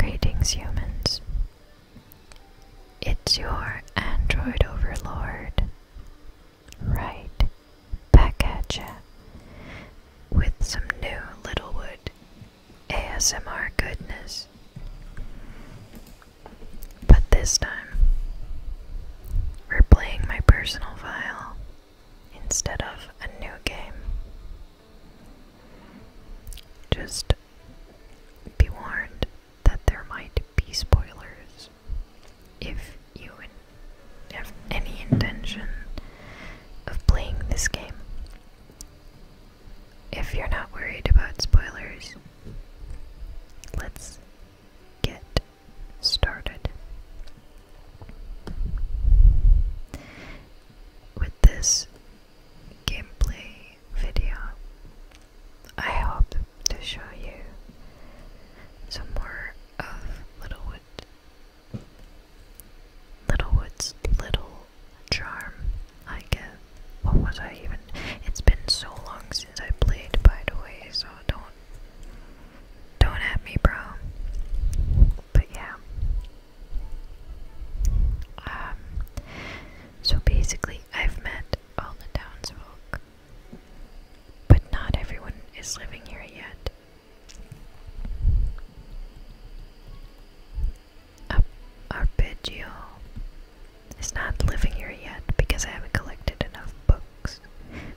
Greetings, humans. It's your android overlord. Right, back With some new Littlewood ASMR goodness. But this time, we're playing my personal file instead of a new game. Just be warned that there might be spoilers if you have any intention of playing this game. If you're not worried about spoilers, let's get started. With this gameplay video. I hope to show you some more of Littlewood Littlewood's little charm, I guess. What was I even? It's been so long since I played, by the way, so don't don't at me, bro. But yeah, um, so basically, I've met all the townsfolk, but not everyone is living here yet. our Arpeggio is not living here yet because I haven't collected enough books,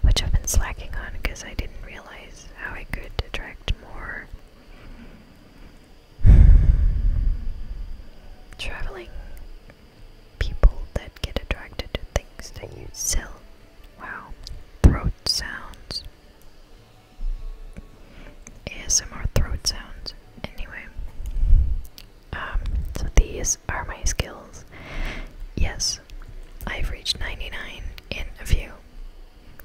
which I've been slacking on because I didn't realize how I could attract more traveling people that get attracted to things that you sell. Wow, throat sounds. ASMR throat sounds. Anyway, um, so these are my skills. Yes, I've reached 99 in a few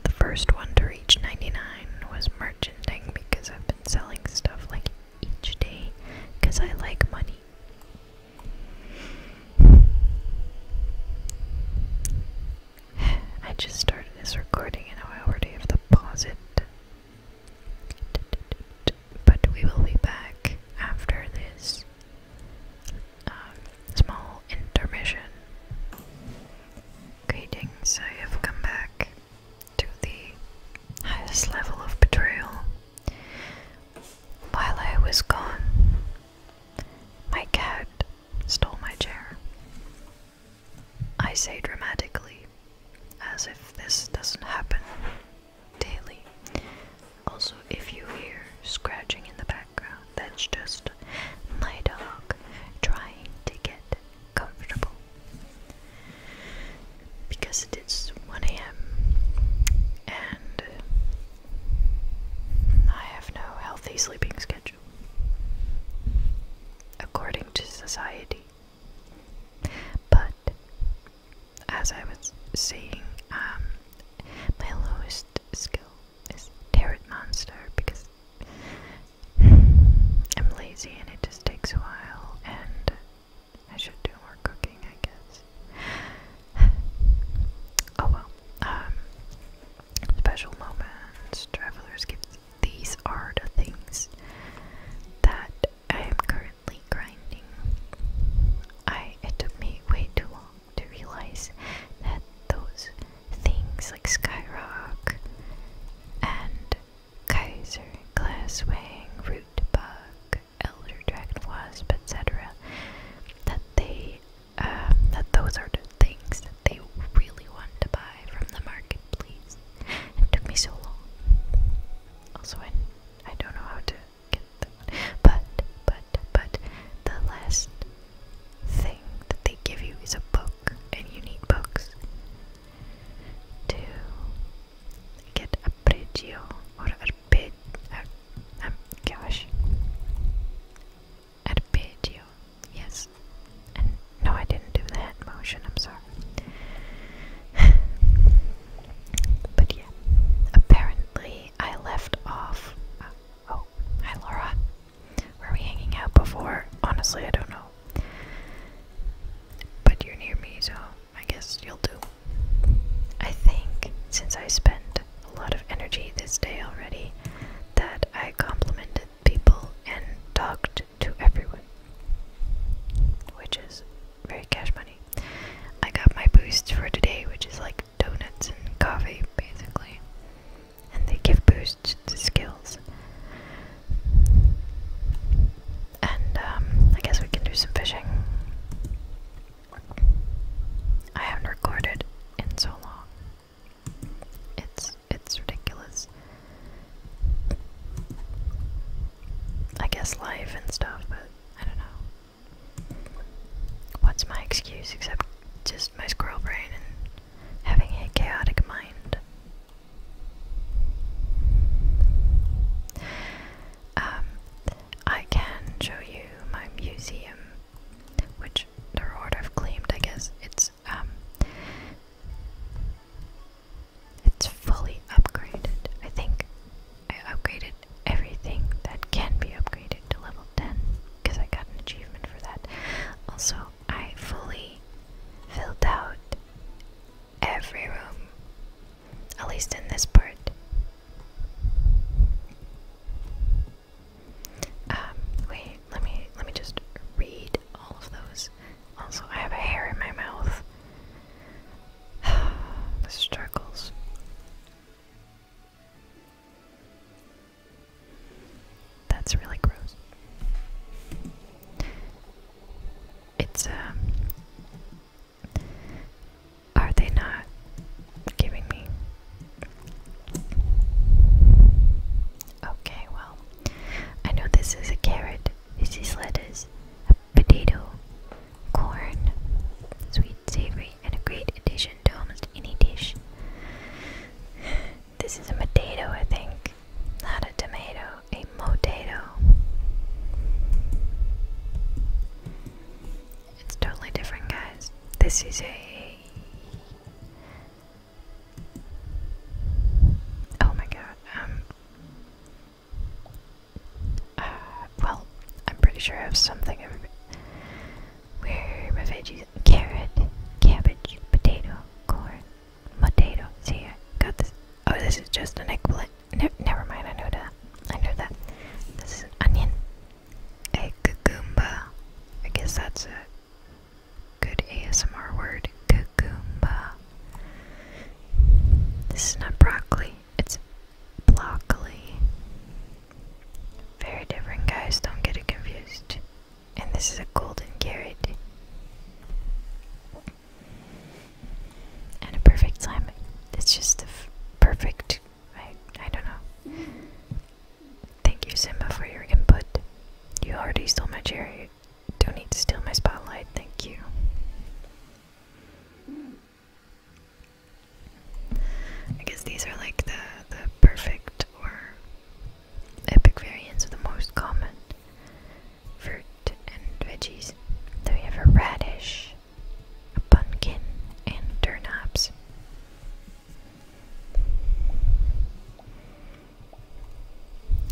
the first one to reach 99 was merchandising because I've been selling stuff like each day because I like money. I just started this recording and I already have to pause it. But we will be back after this um, small intermission. Greetings, I have come back to the highest level of betrayal. While I was gone, my cat stole my chair. I say dramatically, as if this doesn't happen daily. Also, if you hear scratching in the background, that's just my dog trying to get comfortable because it is 1 a.m. and I have no healthy sleeping schedule according to society. But as I was saying, um, my lowest skill is Tarot Monster because I'm lazy and it just takes a while, and I should do more cooking, I guess. oh well. Um, special moments, traveler's gifts. These are the things that I am currently grinding. I it took me way too long to realize that those things like Skyrock and Kaiser, glasswing, wang, root bug, elder dragon wasp, etc. That they, um, that those are the things that they really want to buy from the market. Please, It took me so long. Also, I, I don't know how to get that. But, but, but, the last thing that they give you is a book, and you need books to get arpeggio or arpeggio. Ar um, gosh, arpeggio. Yes, no, I didn't do the motion. I'm sorry. but yeah, apparently I left off. Uh, oh, hi Laura. Were we hanging out before? Honestly, I don't know. But you're near me, so I guess you'll do. I think, since I spent a lot of energy this day already, that I complimented people and talked to everyone, which is very cash money. I got my boosts for today, which is like donuts and coffee, basically. And they give boosts to skills. And um, I guess we can do some fishing. I haven't recorded in so long. It's it's ridiculous. I guess life and stuff, but I don't know. What's my excuse except just my squirrel brain and having a chaotic mind? Um, I can show you my museum, which the Horde have claimed. I guess it's um, it's fully upgraded. I think I upgraded everything that can be upgraded to level ten because I got an achievement for that. Also, I fully filled out every room, at least in this part. Um, wait, let me let me just read all of those. Also, I have hair in my mouth. the struggles. That's really gross it's um, are they not giving me okay well I know this is a carrot this is lettuce a potato corn sweet savory and a great addition to almost any dish this is a potato I think not a tomato, a motato. It's totally different, guys. This is a. Oh my god. Um. Uh, well, I'm pretty sure I have something. Where are veggies? Carrot, cabbage, potato, corn, Potato. See, I got this. Oh, this is just an eggplant. Ne never mind, I know that. I know that. This is an onion. A cucumba. I guess that's a good ASMR word. Cucumba. This is not broccoli. It's broccoli. Very different, guys. Don't get it confused. And this is a golden carrot and a perfect time. It's just the perfect. I I don't know. Thank you, Simba, for your input. You already stole my cherry. Don't need to steal my spotlight. Thank you. I guess these are like the the perfect or epic variants of the most common fruit and veggies. So we have a radish, a pumpkin, and turnips.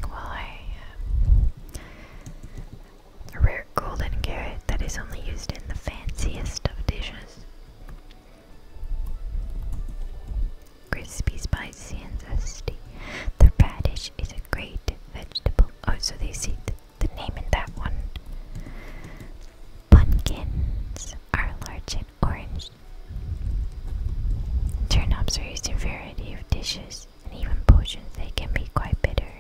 Well, I uh, rare golden carrot that is only used in the fanciest of dishes. Crispy, spicy, and zesty. The radish is a great vegetable. Oh, so they see the name in that one. Pumpkins are large and orange. Turnips are used in a variety of dishes and even potions. They can be quite bitter.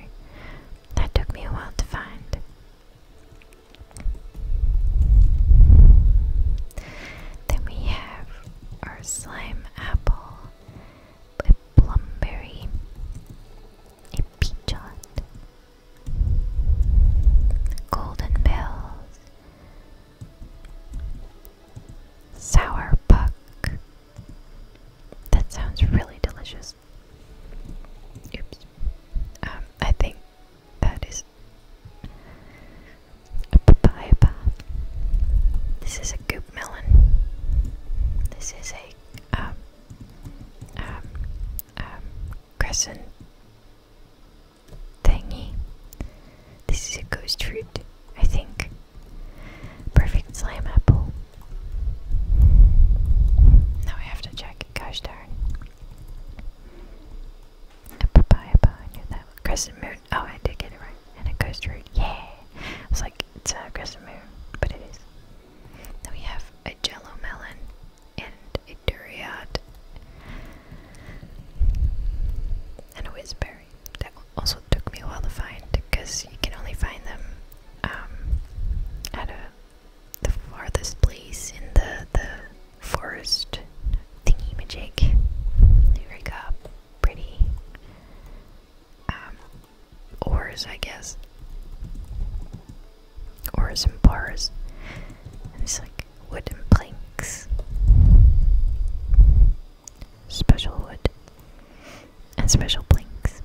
That took me a while to find. Then we have our slime apple a plumberry, a peachot, golden bells, sour puck. That sounds really delicious. Oops. Um, I think that is a papaya. This is a good melon. This is a um, um, um, crescent thingy. This is a ghost fruit, I think. Perfect slime apple. Now I have to check. Gosh darn. papaya, I knew that. Crescent moon. Oh, I did get it right and a ghost route. Yeah, it's like it's a crescent moon, but it is. Then we have a Jello melon and a duriat and a whizberry. That also took me a while to find because you can only find them um, at the farthest place in the the forest thingy magic. There we go. Pretty um, ores, I guess, ores and bars, and it's like wooden planks, special wood, and special planks.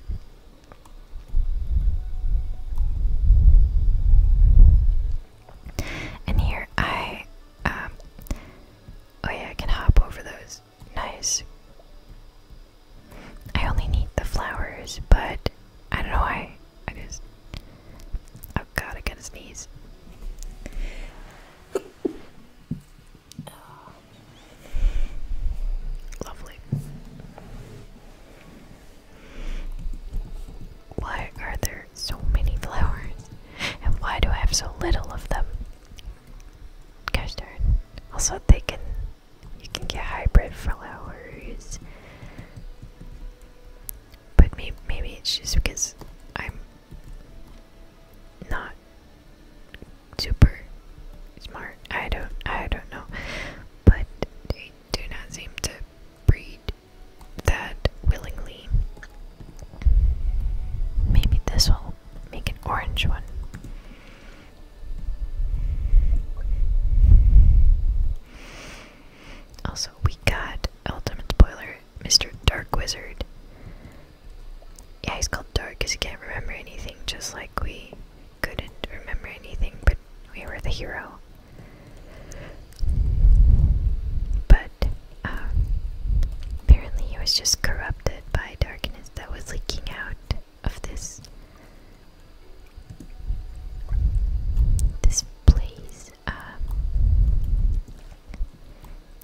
And here I, um, oh yeah, I can hop over those nice. I only need the flowers, but I don't know why. I just. Oh god, I gotta sneeze. Lovely. Why are there so many flowers? And why do I have so little of them? Gosh also, they can you can get hybrid flowers, but maybe maybe it's just because I'm not super smart. I don't I don't know, but they do not seem to breed that willingly. Maybe this will make an orange one. Also, we got ultimate spoiler, Mr. Dark Wizard. Yeah, he's called Dark because he can't remember anything, just like we couldn't remember anything, but we were the hero. But uh, apparently, he was just corrupted by darkness that was leaking out of this this place um,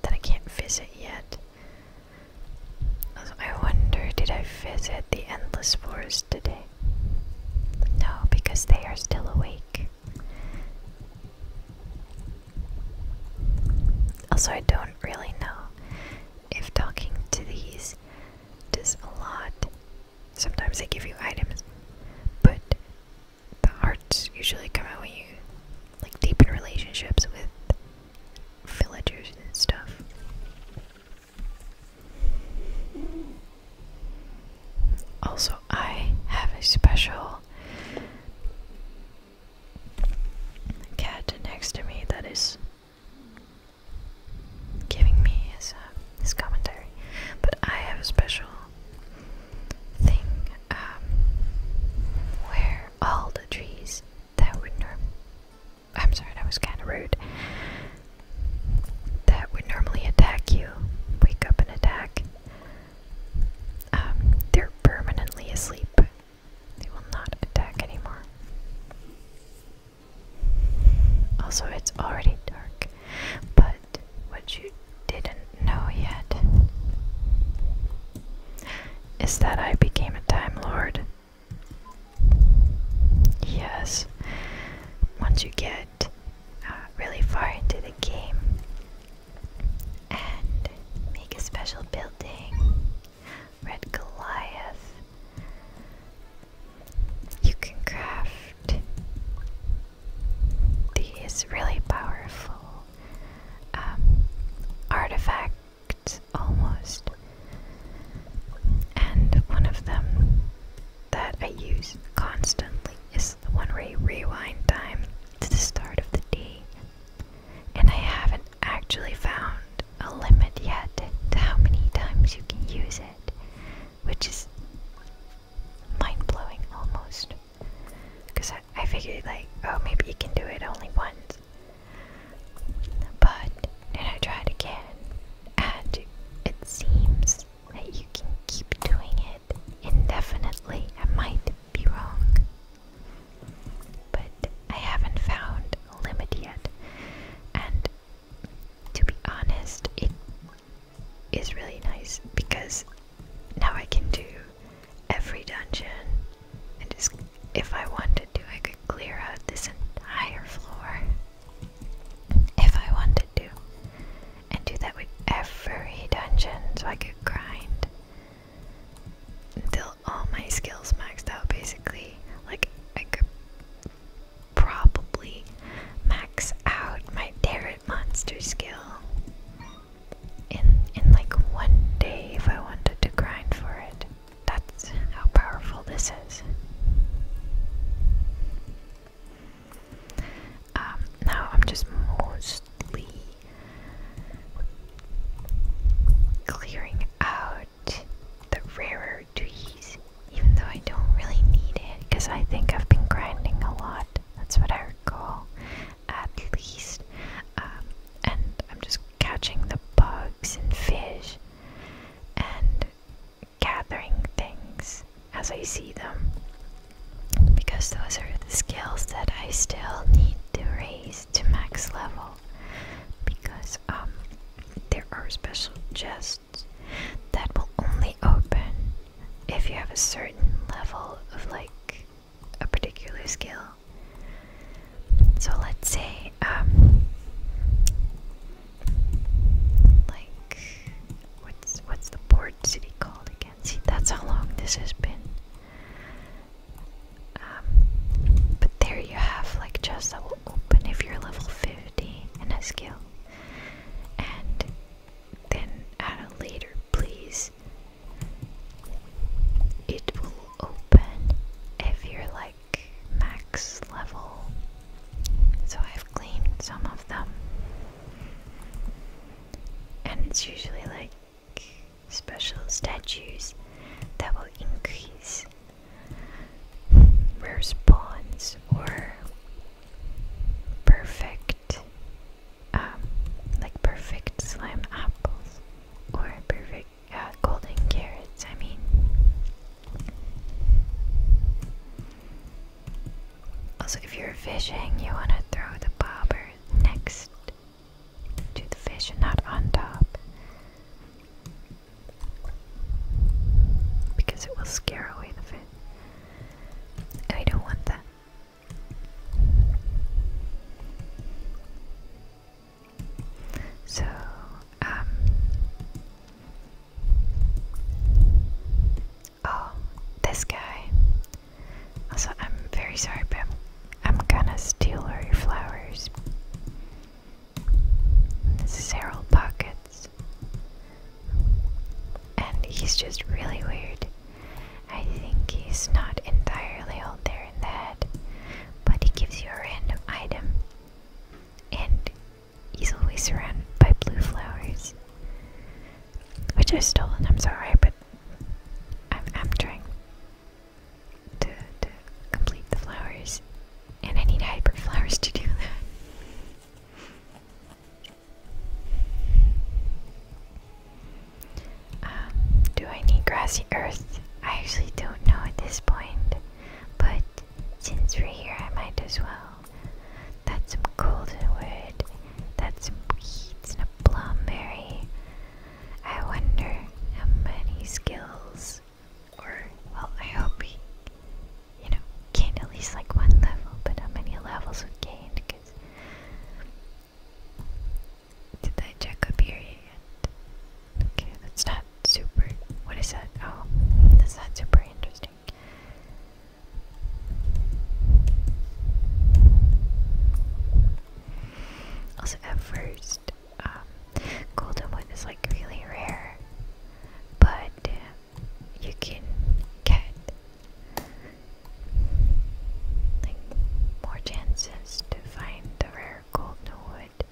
that I can't visit yet. I wonder, did I visit the endless forest today? No, because they are still awake. Also, I don't really know if talking to these does a lot. Sometimes they give you items, but the arts usually come out when you like deepen relationships with villagers and stuff. Also, I have a special cat next to me that is giving me uh, his, commentary. But I have a special thing um, where all the trees that would norm I'm sorry, that was kind of rude. That would normally attack you, wake up and attack. Um, they're permanently asleep they will not attack anymore. Also, it's already dark, but what you didn't know yet is that I became a Time Lord. Yes, once you get uh, really far into the game and make a special building Red Goliath. You can craft these really powerful um, artifacts almost. And one of them that I use constantly is the one where you rewind time to the start of the day and I haven't actually found a limit yet to how many times you can use it, which is mind blowing almost. Because I, I figured, like, oh, maybe you can do it only once. But then I tried again, and it seems that you can keep doing it indefinitely. I might be wrong, but I haven't found limit yet. And to be honest, it is really nice because now I can do every dungeon and just if I wanted to I could clear out this entire floor if I wanted to and do that with every dungeon so I could grind until all my skills maxed out basically. Like, I could probably max out my Derrit monster skill in in like one day if I wanted to grind for it. That's how powerful this is. Um, now I'm just mostly clearing out the rarer trees, even though I don't really need it because I think I've been grinding a lot. That's what I recall, at least. Um, and I'm just catching the bugs and fish and gathering things as I see them because those are the skills that I still need to raise to max level because um, there are special chests that will only open if you have a certain level of like a particular skill. So let's say um, like what's what's the port city called again? See that's how long this has been. Um, there you have like chests that will open if you're level 50 in a skill. And then at a later please it will open if you're like max level. So I've cleaned some of them. And it's usually like special statues that will increase response or perfect um, like perfect slime apples or perfect uh, golden carrots I mean also if you're fishing you want to throw the bobber next to the fish and not on top because it will scare away the fish. I don't want that. So, um. Oh, this guy. Also, I'm very sorry, but I'm gonna steal all your flowers. Cyril Pockets. And he's just really weird. I think he's not entirely all there in the head, but he gives you a random item. And he's always surrounded by blue flowers. Which are stolen, I'm sorry, but I'm, I'm trying to, to complete the flowers. And I need hyper flowers to do that. Um, do I need grassy earth? I actually don't know at this point. But since we're here, I might as well. That's some wood. That's some weeds and a plumberry. I wonder how many skills or well, I hope he, you know, gained at least like one level. But how many levels we gained? did I check up here yet? Okay, that's not super. What is that? Oh, that's not super interesting. Also, first, golden um, wood is like really rare, but uh, you can get like more chances to find the rare golden wood.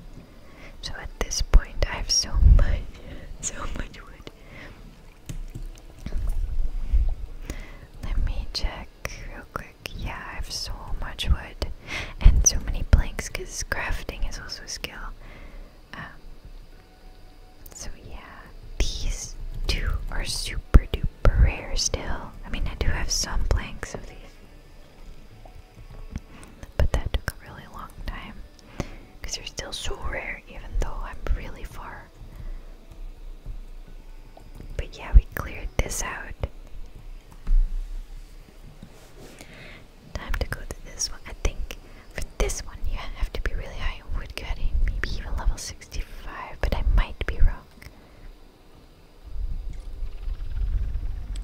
So at this point, I have so much, so much wood. Let me check real quick. Yeah, I have so much wood and so many planks because crafting is also a skill. Um, so yeah, these two are super duper rare still. I mean, I do have some blanks of these, but that took a really long time because they're still so rare, even though I'm really far. But yeah, we cleared this out. Time to go to this one. I think for this one you have to be really high in woodcutting, maybe even level 65, but I might be wrong.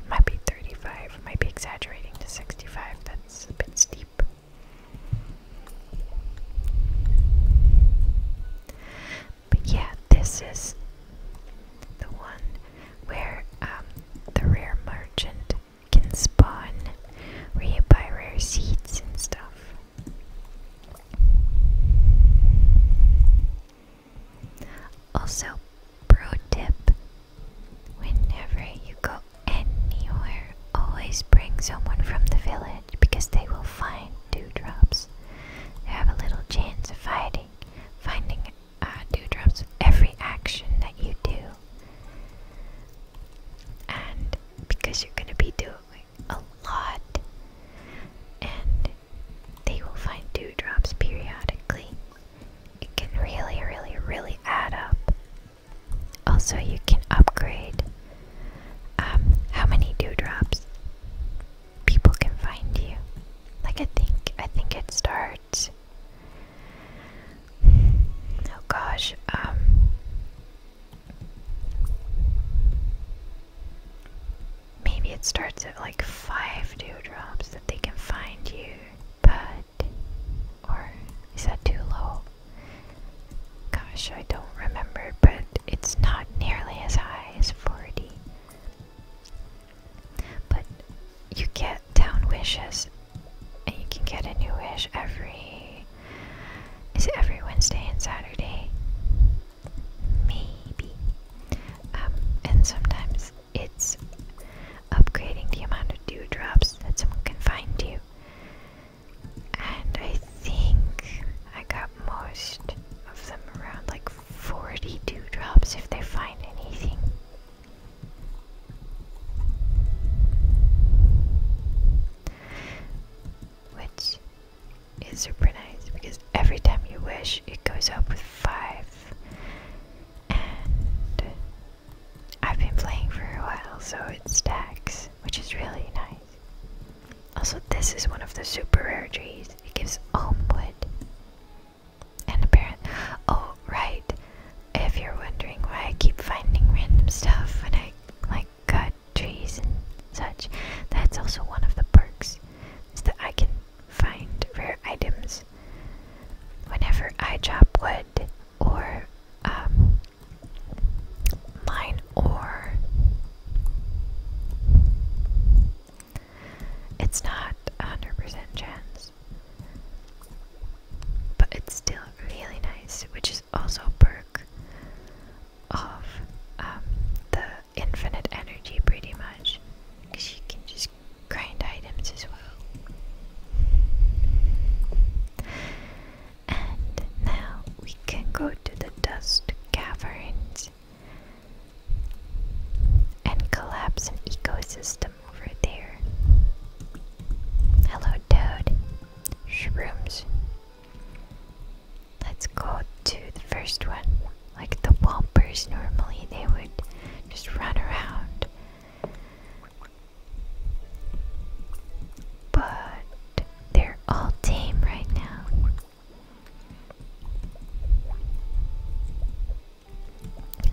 Might be 35, might be exaggerating to 65, that's a bit steep. But yeah, this is the one where um, the rare merchant can spawn where you buy rare seeds and stuff. Also, pro tip whenever you go anywhere, always bring someone from the village because they will find dewdrops. have a little chance of finding, finding uh, dewdrops with every action that you do. And because you're going to be doing a lot, and they will find dewdrops periodically, it can really, really, really add up. Also, you can upgrade um, how many dewdrops people can find you. Like I think, I think it starts Oh gosh, um maybe it starts at like five dewdrops that they can find you, but or is that too low? Gosh, I don't remember, but it's not nearly as high as 40. But you get down wishes and you can get a new wish every is it every Wednesday and Saturday? Maybe. Um, and sometimes it's upgrading the amount of dew drops that someone can find you. And I think I got most of them around like 40 dew drops if they find anything. Which is super nice because every time you wish it goes up with five. And I've been playing for a while, so it stacks, which is really nice. Also, this is one of the super rare trees. It gives elm wood. And apparently, oh, right. If you're wondering why I keep finding random stuff when I like cut trees and such, that's also one of the perks is that I can find rare items whenever I chop wood or um, mine ore. It's not a hundred percent chance, but it's still really nice, which is also a perk of um, the infinite energy, pretty much, because you can just grind items as well. And now we can go to the dust caverns and collapse an ecosystem over there. Hello, Toad. Shrooms. Let's go to the first one. Like the Wompers, normally they would just run around. But they're all tame right now.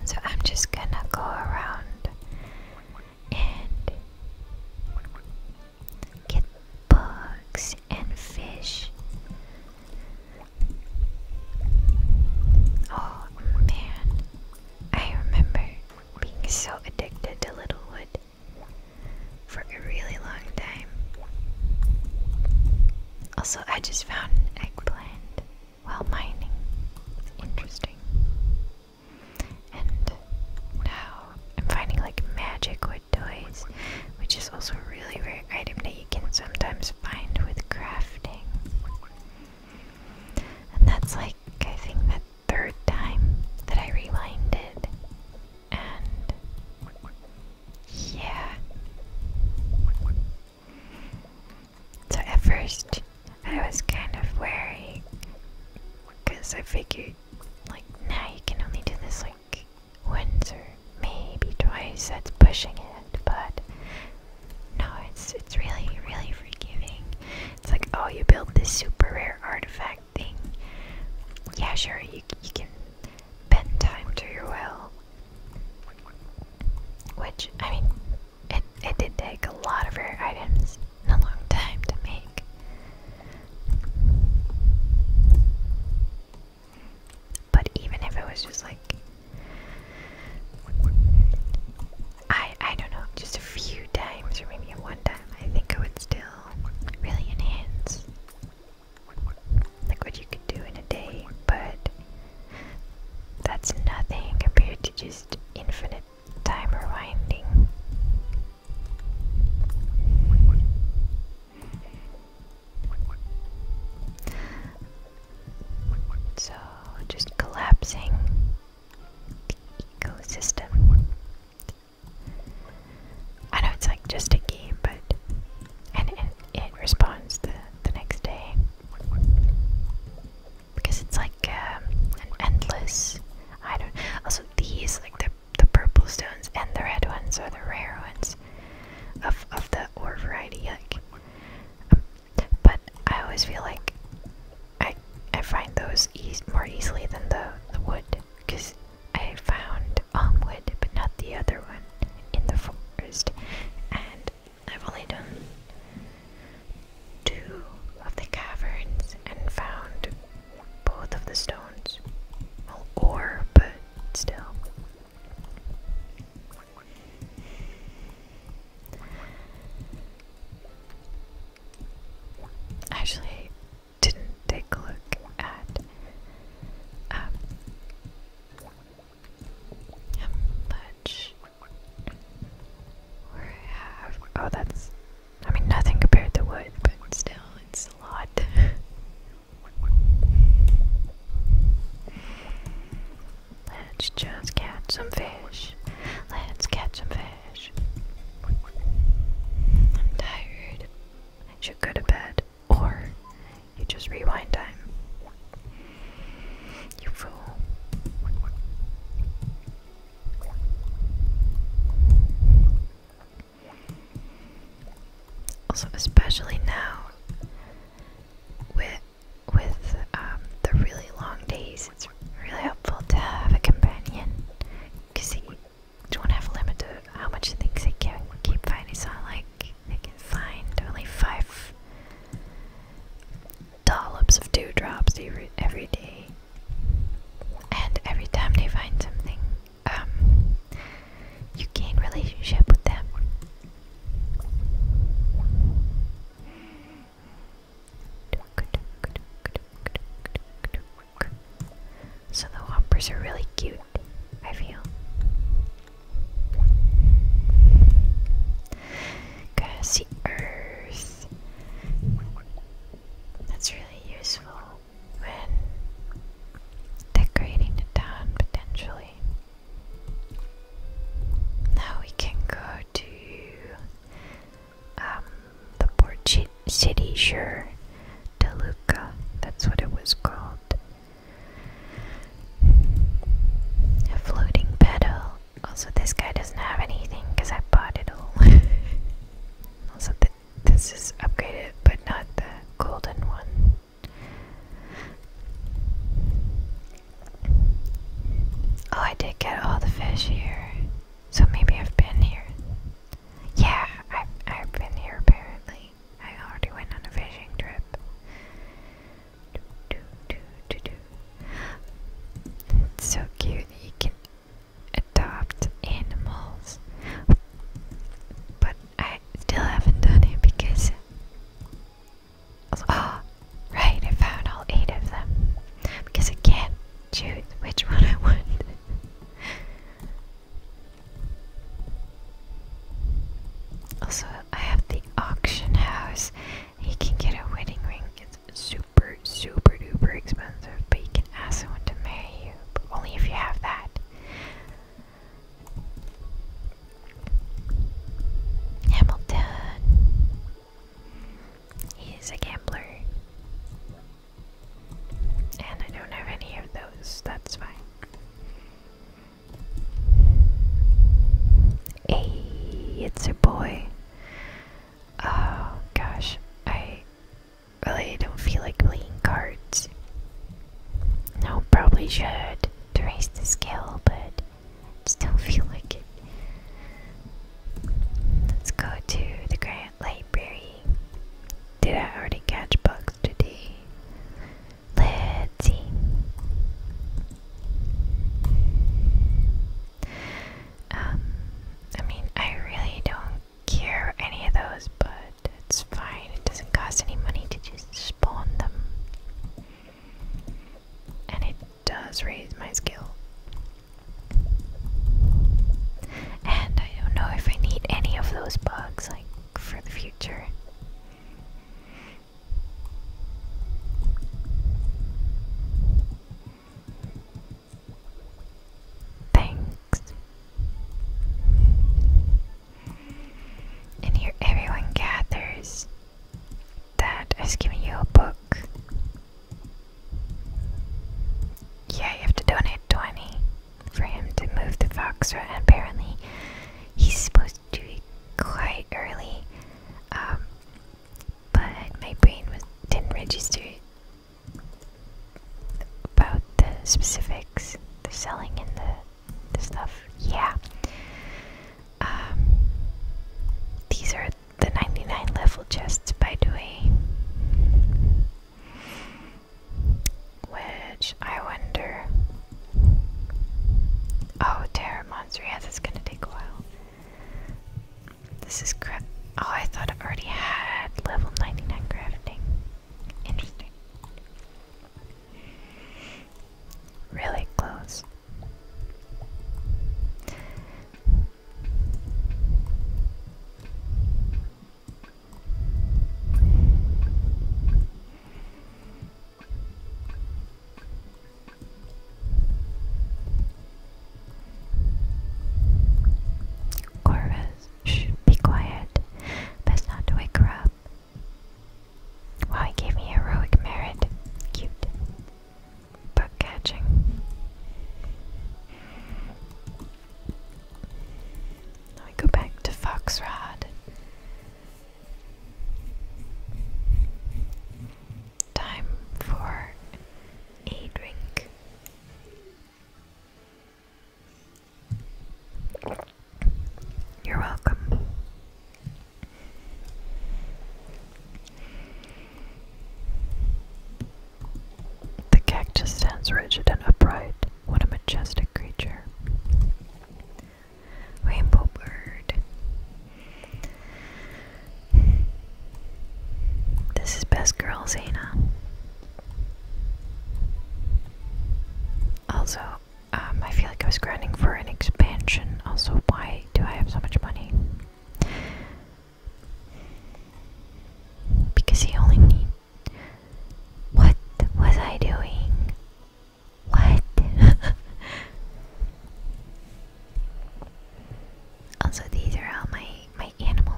So I'm just gonna go around and get bugs and fish. Oh man, I remember being so addicted to Littlewood for a really long time. Also, I just found an eggplant while mining. Interesting. And now I'm finding like magic wood toys, which is also a really rare item that you can sometimes find with crafting. And that's like, I think, the third time that I rewinded. And yeah. So at first, I was kind of wary because I figured, like, now you can only do this like once or maybe twice. That's pushing it, but no, it's it's really really forgiving. It's like, oh, you build this super rare artifact thing. Yeah, sure, you you can bend time to your will. Which I mean, it, it did take a lot of rare items and a long time to make. But even if it was just like I I don't know, just a few times or maybe one time, I think it would still really enhance like what you could do in a day, but that's nothing compared to just infinite timer winding. So, just collapsing the ecosystem. I know it's like just a game, but and it, it responds the, the next day because it's like um, an endless. I don't. Also, these like the the purple stones and the red ones are the rare ones of of the ore variety. Like, um, but I always feel like I I find those e more easily than the the wood because I found on um, wood but not the other one in the forest, and I've only done two of the caverns and found both of the stones. Well, but still. Actually, didn't take a look at um, how much we have. Oh, that's I mean, nothing compared to wood, but still, it's a lot. Let's just catch some fish. Let's catch some fish. I'm tired. I should go to bed. Or you just rewind time. You fool. Also, especially now with with um, the really long days, it's really helpful to have a companion because you don't have a limit to how much things they can keep finding. It's not like they can find only five dollops of dewdrops every, every day. And every time they find something, um, you gain relationship with them. So the whoppers are really cute, I feel. Cause earth that's really useful when decorating the town potentially. Now we can go to um, the port city, sure, Deluca, that's what it was called. A floating pedal. Also, this guy doesn't have anything because I bought it all. Also, this is upgraded, but not the golden one. Oh, I did get all the fish here. So maybe I've been here. Yeah, I've, I've been here apparently. I already went on a fishing trip. It's so cute. You can adopt animals, but I still haven't done it because. Oh, right, I found all eight of them because I can't choose which one I want. also, I have the auction house. You can get a wedding ring super, super duper expensive, but you can ask someone to marry you, but only if you have that. Hamilton is a gambler. And I don't have any of those, that's fine. Hey, it's a boy. Oh gosh, I really don't feel like playing cards. No, probably should to raise the skill, but still feel like it. Let's go to the Grant Library. Did I already catch bugs today? Let's see. Um, I mean, I really don't cure any of those, but it's fine. It doesn't cost any money to just spawn them. And it does raise my skill. And I don't know if I need any of those bugs, like, for the future. Thanks. And here everyone gathers. Dad has you a book. Yeah, you have to donate 20 for him to move to Foxra. And apparently, he's supposed to do quite early. Um, but my brain was, didn't register about the specifics, the selling and the, the stuff. Yeah. Um, these are the 99 level chests, by the way. Which I wonder. Oh, Terra Monster. Yeah, it's gonna take a while. This is craft. Oh, I thought I already had level 99 crafting. Interesting. Really close. Corvus, shh, be quiet. Best not to wake her up. Wow, he gave me heroic merit. Cute. but catching. Now we go back to Foxrod. Time for a drink. You're welcome. The cactus stands rigid and upright. What a majestic creature. Rainbow bird. This is best girl Zena. Also, um, I feel like I was grinding for an expansion. Also, why do I have so much money? Because he only need. What was I doing? What? also, these are all my my animal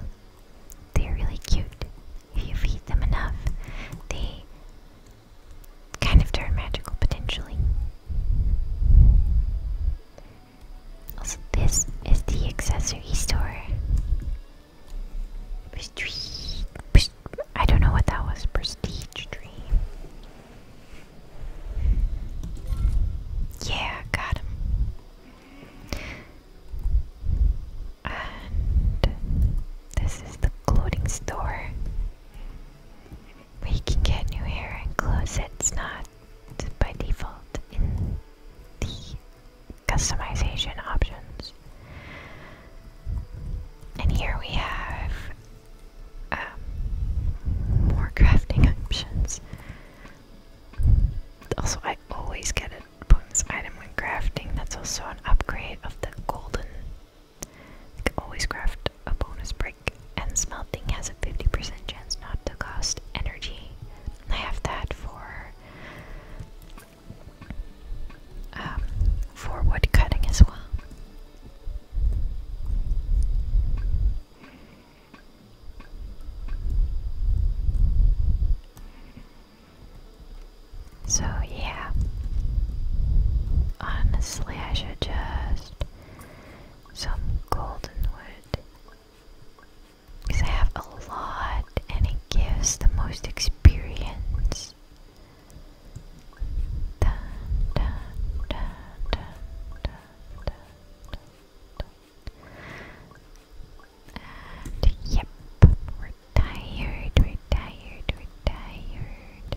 they're really cute. If you feed them enough, they kind of turn magical potentially. Also, this is the accessory store. I don't know what that was. Prestige dream. Yeah, got him. And this is the clothing store. Where can get new hair and clothes. It's not by default in the customization options. And here we have um, more crafting options. Also, I always get it bonus item when crafting. That's also an upgrade of the golden. always craft a bonus brick. And smelting has a 50% chance not to cost energy. I have that for um, for wood cutting as well. So, yeah. Honestly, I should just. Some golden wood. Because I have a lot and it gives the most experience. And yep, we're tired, we're tired, we're tired.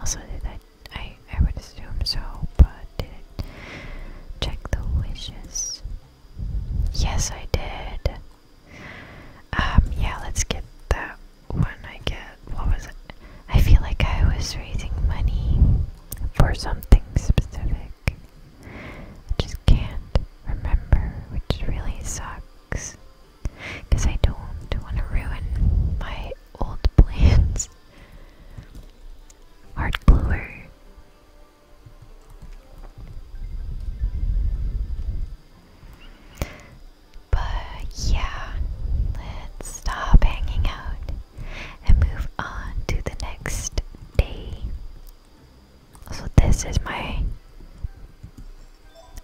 Also, did I? I, I would assume so, but didn't check the wishes. Yes, I did. Um, yeah, let's get that one. I get what was it? I feel like I was raising money for something specific. I just can't remember, which really sucks. Because I don't want to ruin my old plans. Hard gluer. But yeah, let's stop hanging out and move on to the next day. So, this is my.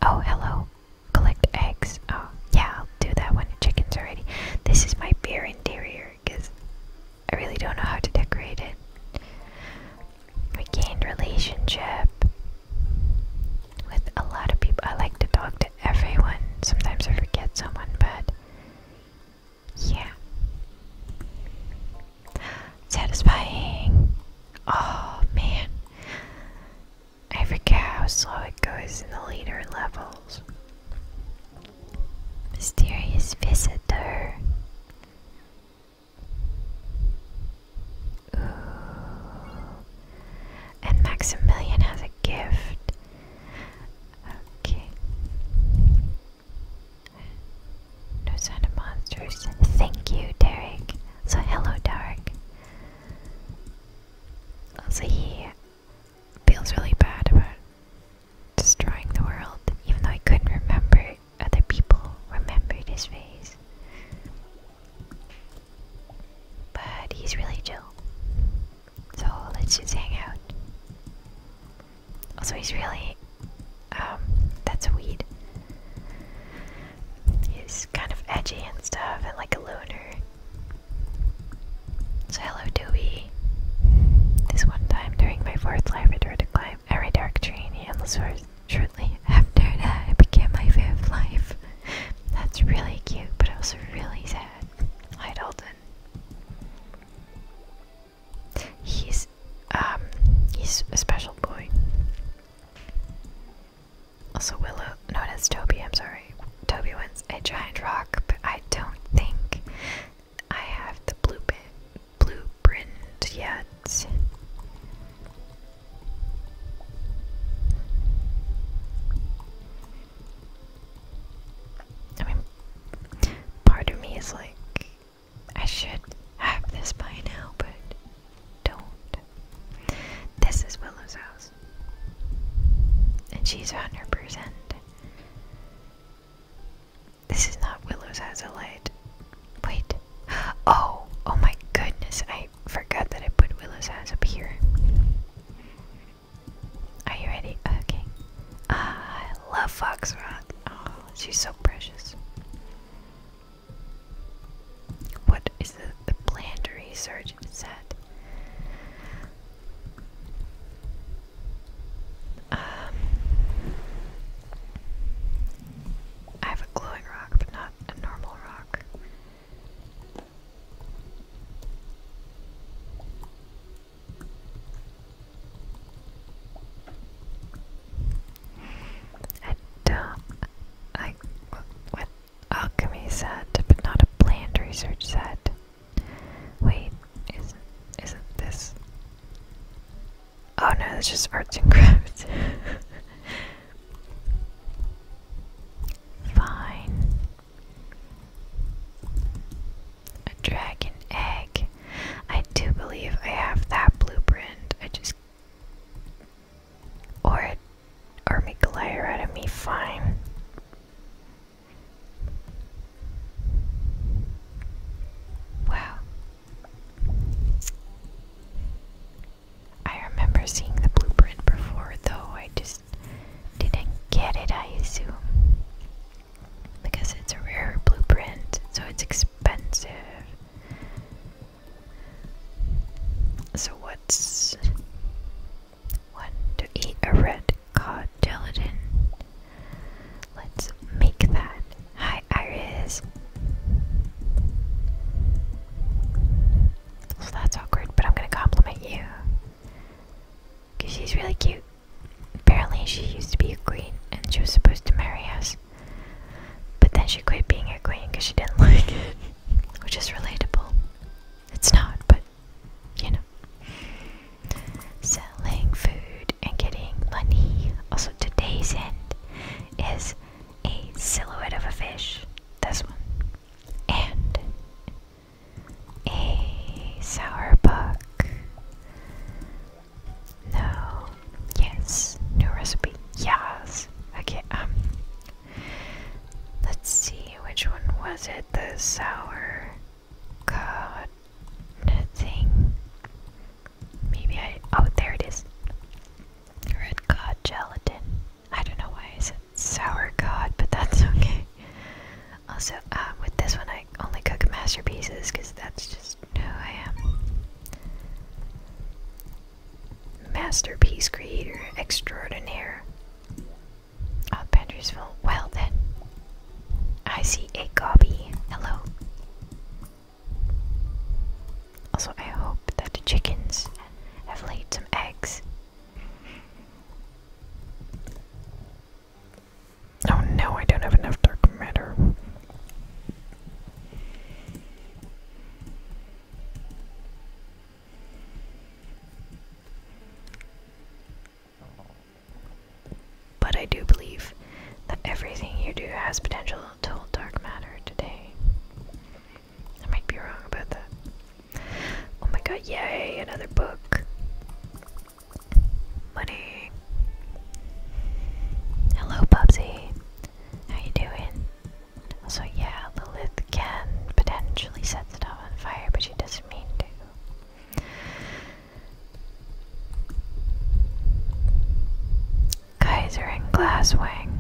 Oh, hello. Collect eggs. Oh, yeah, I'll do that when the chicken's are ready. This is my beer interior because I really don't know how to decorate it. Regained relationship with a lot of people. I like to talk to everyone. Sometimes I forget someone, but yeah. Satisfying. Oh man. I forget how slow it goes in the later levels. Mysterious visitor. Ooh. And Maximilian has a gift. Okay. No sign of monsters. Thank you, Derek. So hello, Derek. Also, he feels really bad about destroying the world, even though he couldn't remember other people remembered his face. But he's really chill. So let's just hang out. Also, he's really. Um, that's a weed. He's kind of edgy and stuff, and like a loner. So, hello, Dewey. This one time during my fourth life, I tried to climb every dark tree in the endless forest. Shortly after that, it became my fifth life. That's really cute, but was really sad. Hi, Dalton. He's um he's a special boy. Also Willow no that's Toby, I'm sorry. Toby wins a giant rock, but I don't think I have the blueprint blueprint yet part of me is like, I should have this by now, but don't. This is Willow's house. And she's 100%. This is not Willow's house, at all. Wait. Oh, oh my goodness. I forgot that I put Willow's house up here. Are you ready? Okay. Uh, love Foxrot. Oh, she's so precious. What is the, the research set? Um, I have a glowing rock, but not a normal rock. I do I. What? Alchemy set, but not a planned research set. Wait, isn't isn't this? Oh no, that's just arts and crafts. Fine. A dragon egg. I do believe I have that blueprint. I just or or make liar out of me. Fine. Wow. I remember seeing the blueprint before, though I just didn't get it. I assume because it's a rare blueprint, so it's expensive. So what's what to eat a red cod gelatin? Let's make that. Hi, Iris. Well, that's awkward, but I'm gonna compliment you because she's really cute. Apparently, she used to be a queen and she was supposed to marry us. But then she quit being a queen because she didn't like it, which is relatable. It's not, but you know. Selling food and getting money. Also, today's end is a silhouette of a fish. This one. And a sour buck. No. Yes. New recipe. Yes. Okay, um. Let's see, which one was it? The sour god thing. Maybe I. Oh, there it is. Red cod gelatin. I don't know why I said sour cod, but that's okay. Also, uh, with this one, I only cook masterpieces because that's just who I am. Masterpiece creator extraordinaire. Oh, the Well then, I see a gobby. Hello. Also, I hope that the chickens have laid some eggs. Oh no, I don't have enough dark matter. But I do believe that everything you do has potential to hold dark matter today. I might be wrong about that. Oh my god, yay, another book. Money. Hello, Bubsy. How you doing? So yeah, Lilith can potentially set stuff on fire, but she doesn't mean to. Kaiser and Glasswing.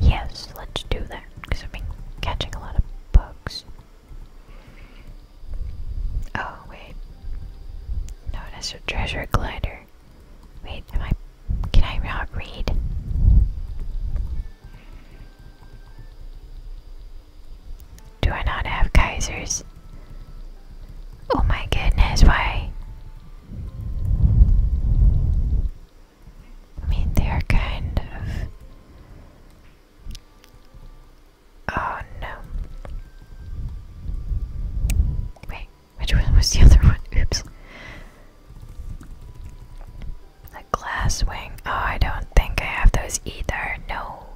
Yes, let's do that, because I've catching a lot of bugs. Oh, wait. Notice a treasure glider. Wait, am I. Can I not read? Do I not have Kaisers? Oh my goodness, why? I mean, they are kind of. Oh no. Wait, which one was the other one? Oops. A glass wing. Oh, I don't think I have those either. No.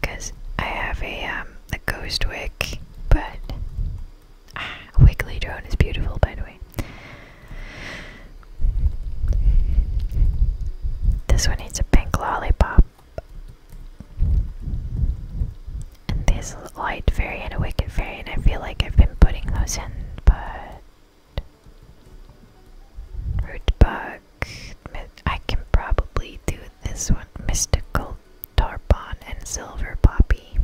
Because I have a, um, a ghost wick, but. Ah, a wiggly drone is beautiful, by the way. This one needs a pink lollipop. And there's a light fairy and a wicked fairy, and I feel like I've been putting those in, but. Root bug. I can probably do this one. Mystical tarpon and silver poppy.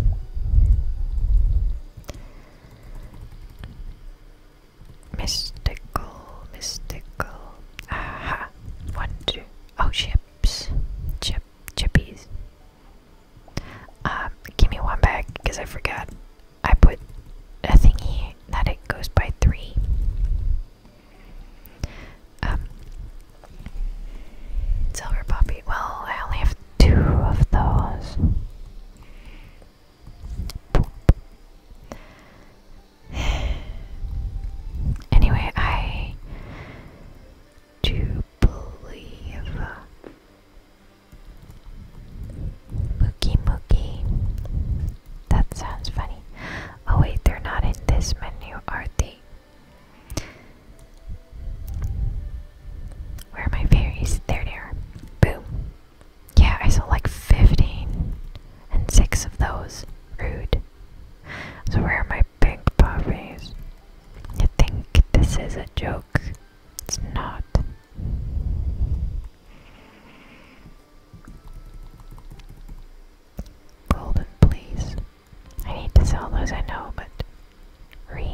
Mystical, mystical. Aha! One, two. Oh, chips. Chip, chippies. Um, give me one back because I forgot. I put a thingy that it goes by three. Um, silver poppy. Well, I only have two of those anyway, I do believe uh, Mookie Mookie. That sounds funny. Oh, wait, they're not in this menu, are they? Where are my fairies? There they are. Boom. Yeah, I saw like 15 and six of those rude. So where are my pink puppies? You think this is a joke? It's not. Golden, please. I need to sell those, I know, but. Re.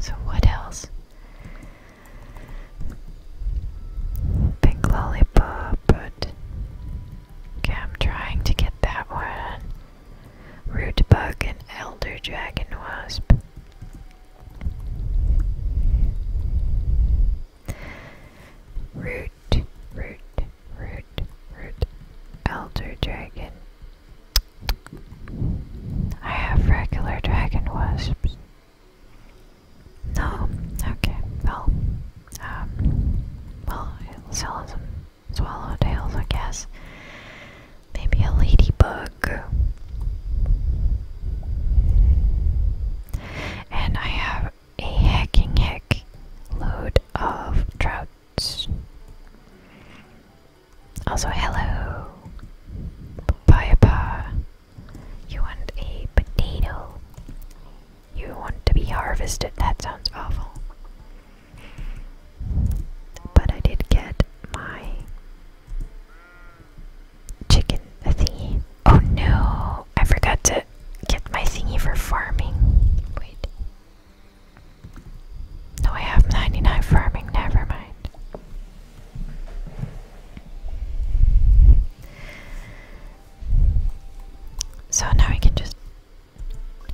So, what else? Pink lollipop, but okay, I'm trying to get that one. Root bug and elder dragon wasp. Root, root, root, root, elder dragon. I have regular dragon wasps. No? Okay, well, um, well, it'll sell some swallowtails, I guess. Maybe a ladybug. And I have a hacking heck load of trouts. Also, hello, bye bye. You want a potato. You want to be harvested. That sounds awful. But I did get my chicken thingy. Oh no! I forgot to get my thingy for farming. Wait. No, I have 99 farming. Never mind. So now we can just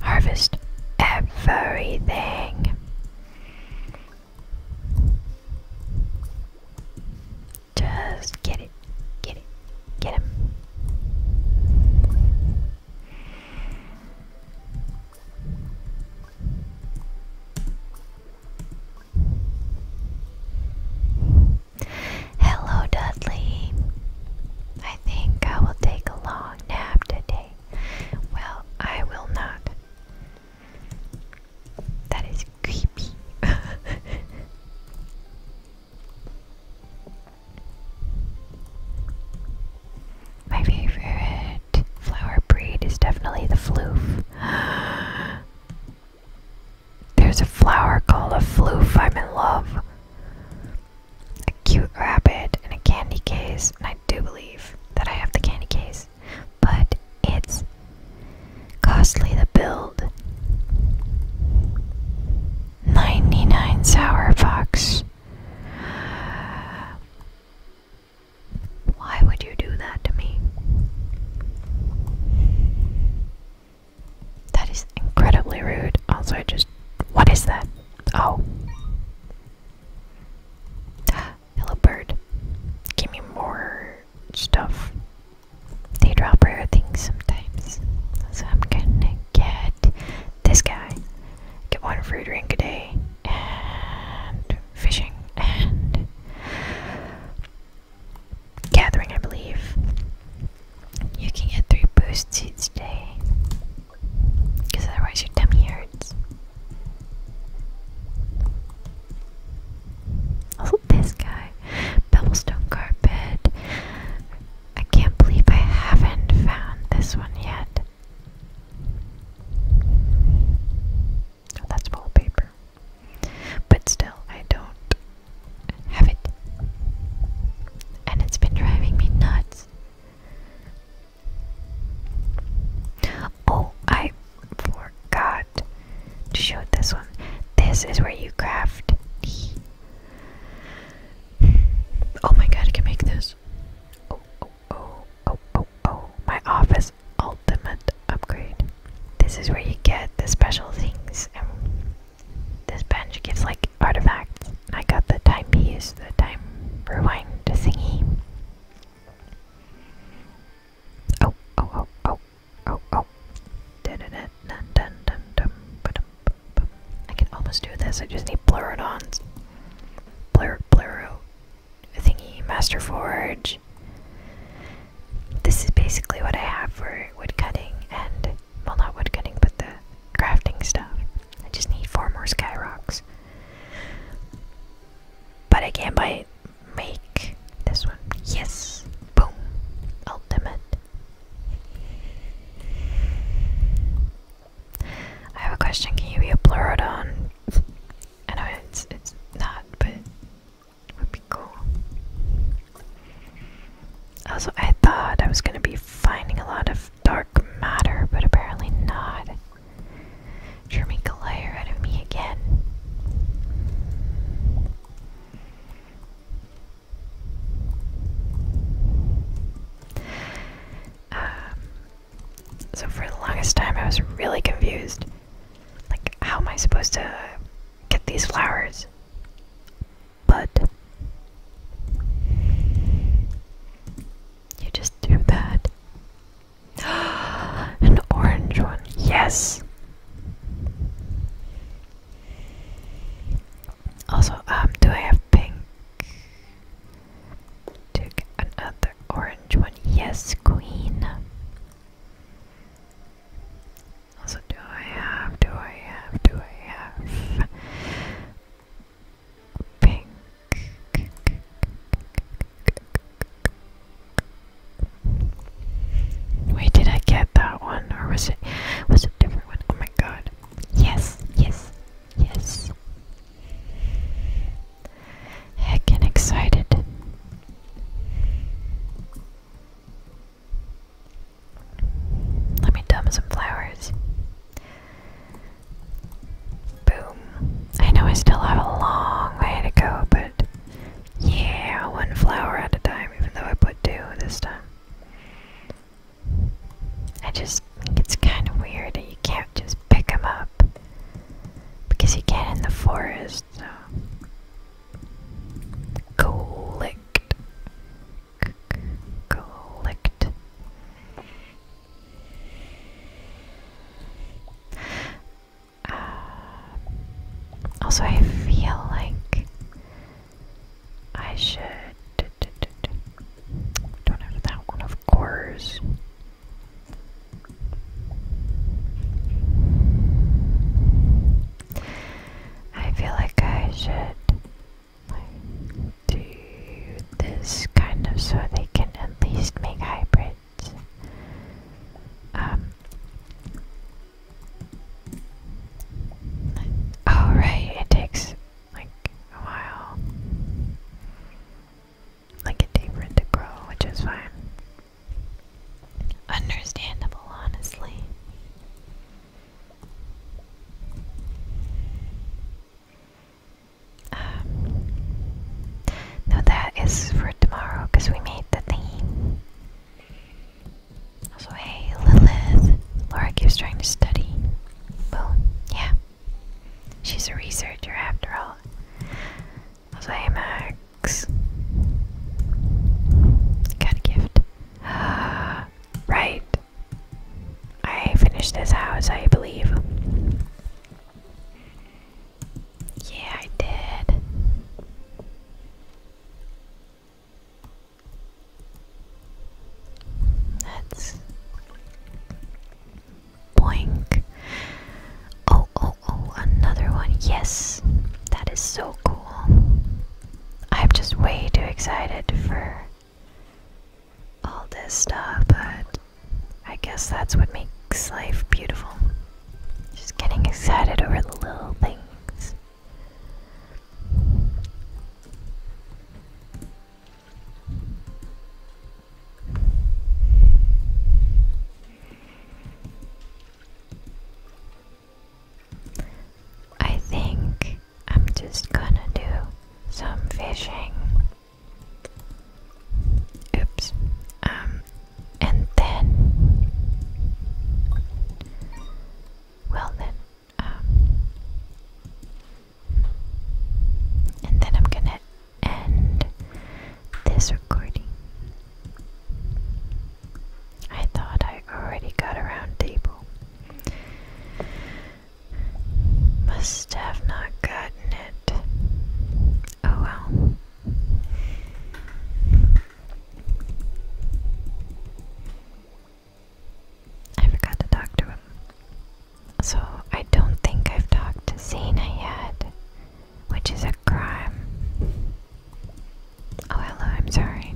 harvest everything. Just get it, get it, get him. Hello, Dudley. I think I will take a long nap today. Well, I will not. That is creepy. My favorite flower breed is definitely the floof. There's a flower called a fluff. I'm in love. A cute rabbit and a candy case, and I do believe that I have the candy case, but it's costly to build. 99 Sour Fox. Why would you do that to me? That is incredibly rude. Also, I just. What is that? Oh. Hello, bird. Give me more stuff. They drop rare things sometimes. So I'm gonna get this guy. Get one fruit drink a day. And fishing. And gathering, I believe. You can get three boosts each day, because otherwise your tummy hurts. Oh, this guy, Pebblestone Carpet. I can't believe I haven't found this one yet. Oh, that's wallpaper. But still, I don't have it. And it's been driving me nuts. Oh, I forgot to show this one. This is where you craft Oh my god, I can make this. Oh, oh, oh, oh, oh, My office ultimate upgrade. This is where you get the special things this bench gives like artifacts. I got the time timepiece, the time rewind thingy. Oh, oh, oh, oh, oh, oh. I can almost do this, I just need Pleurodons. Pleur, Pleuro thingy, Master Forge. This is basically what I have for wood cutting and, well, not wood cutting, but the crafting stuff. I just need four more sky rocks. But I can't buy Make this one. Yes! Boom! Ultimate. I have a question. Can you be a pleurodon? I know it's, it's not, but would be cool. Also, I thought I was going to be finding a lot of dark matter, but apparently not. Jeremy glare out of me again. Um, so for the longest time, I was really confused. Like, how am I supposed to get these flowers? But you just do that. An orange one, yes. Also, um, do I have pink? Take another orange one, yes, queen. Also, do I have, do I have, do I have pink? Wait, did I get that one, or was it was a different one? Oh my god! Yes, yes, yes! Heckin' excited. Let me dump some flowers. Boom. I know I still have a long way to go, but yeah, one flower at a time, even though I put two this time. I just think it's kind of weird that you can't just pick them up because you can't in the forest, so. Collect clicked. Uh, also, I feel like I should. that one, of course. I feel like I should do this kind of so they can at least make hybrids. Um. Oh, it takes like a while, like a day for it to grow, which is fine. Understandable, honestly. Um, no, that is for tomorrow because we made the theme. Also, hey, Lilith. Laura keeps trying to study. Well, yeah. She's a researcher after all. Also, hey, Max. Got a gift. right. I finished this house, I believe. Yeah, I did. That's boink. Oh, oh, oh, another one. Yes, that is so cool. I'm just way too excited for all this stuff, but I guess that's what makes life beautiful. Just getting excited over the little things. I think I'm just gonna do some fishing. Oops. Um, and then. Well, then. Um, and then I'm gonna end this recording. I thought I already got around table. Must have not gotten it. Oh well. I forgot to talk to him. So I don't think I've talked to Xena yet, which is a crime. Oh, hello, I'm sorry.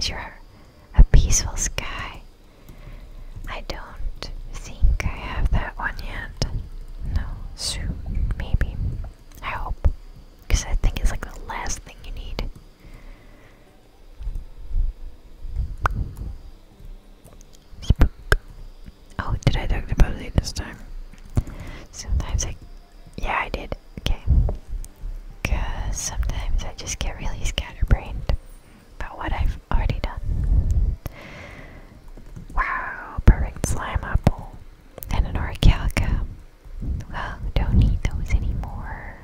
Sure a peaceful sky. I don't think I have that one yet. No, soon, maybe. I hope. Because I think it's like the last thing you need. Oh, did I talk about it this time? Sometimes I. Yeah, I did. Okay. Because sometimes I just get really scatterbrained about what I've already done. Wow, perfect slime apple. And an orichalca. Well, don't need those anymore.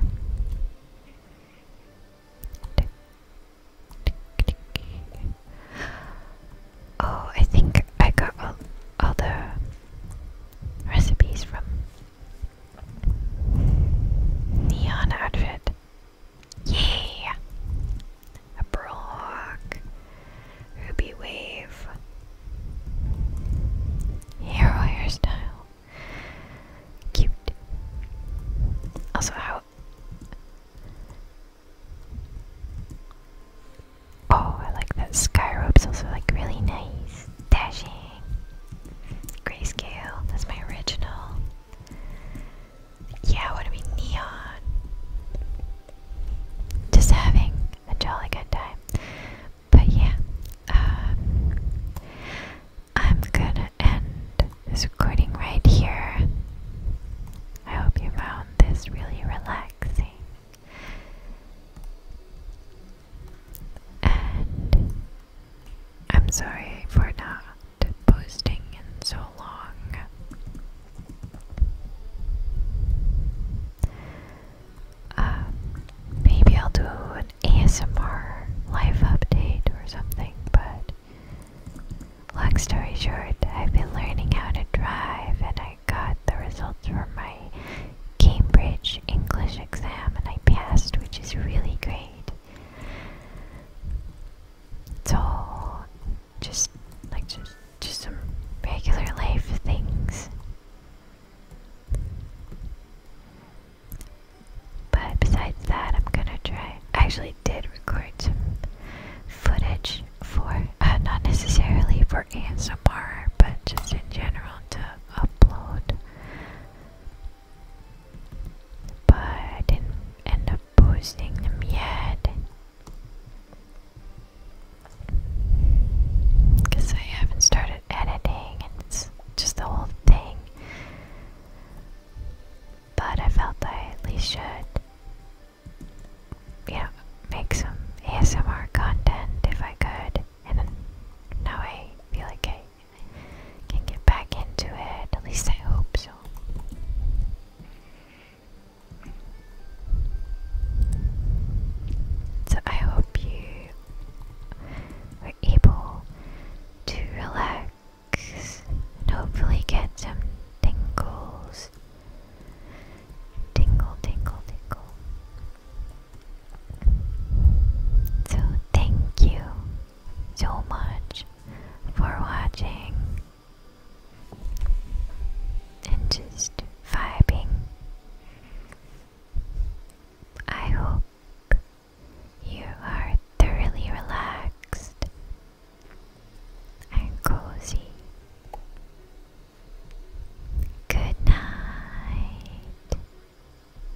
Oh, I think I got all the recipes from Neon outfit. Yeah! A pearl hawk. Ruby wave. Hero hairstyle. Cute. Also, how. Oh, I like that sky rope. rope's also like really nice. Dashing. Grayscale, that's my original. Yeah, I want to neon. Just having a jolly good time. But yeah, um, I'm gonna end this recording right here. I hope you found this really relaxing. And I'm sorry for not posting in so long. Um, maybe I'll do an ASMR life update or something, but long story short, I've been learning how to drive and I got the results from my Cambridge English exam and I passed, which is really great. So, just like just just some regular life things. But besides that, I'm gonna try. I actually did record some footage for, uh, not necessarily for ASMR, but just in general to upload but I didn't end up posting them yet because I haven't started editing and it's just the whole thing. But I felt I at least should, you make some ASMR content if I could. And then no way, feel like I can get back into it. At least I hope so. So I hope you were able to relax and hopefully get some tingles. Tingle, tingle, tingle. So, thank you so much for watching and just vibing. I hope you are thoroughly relaxed and cozy. Good night.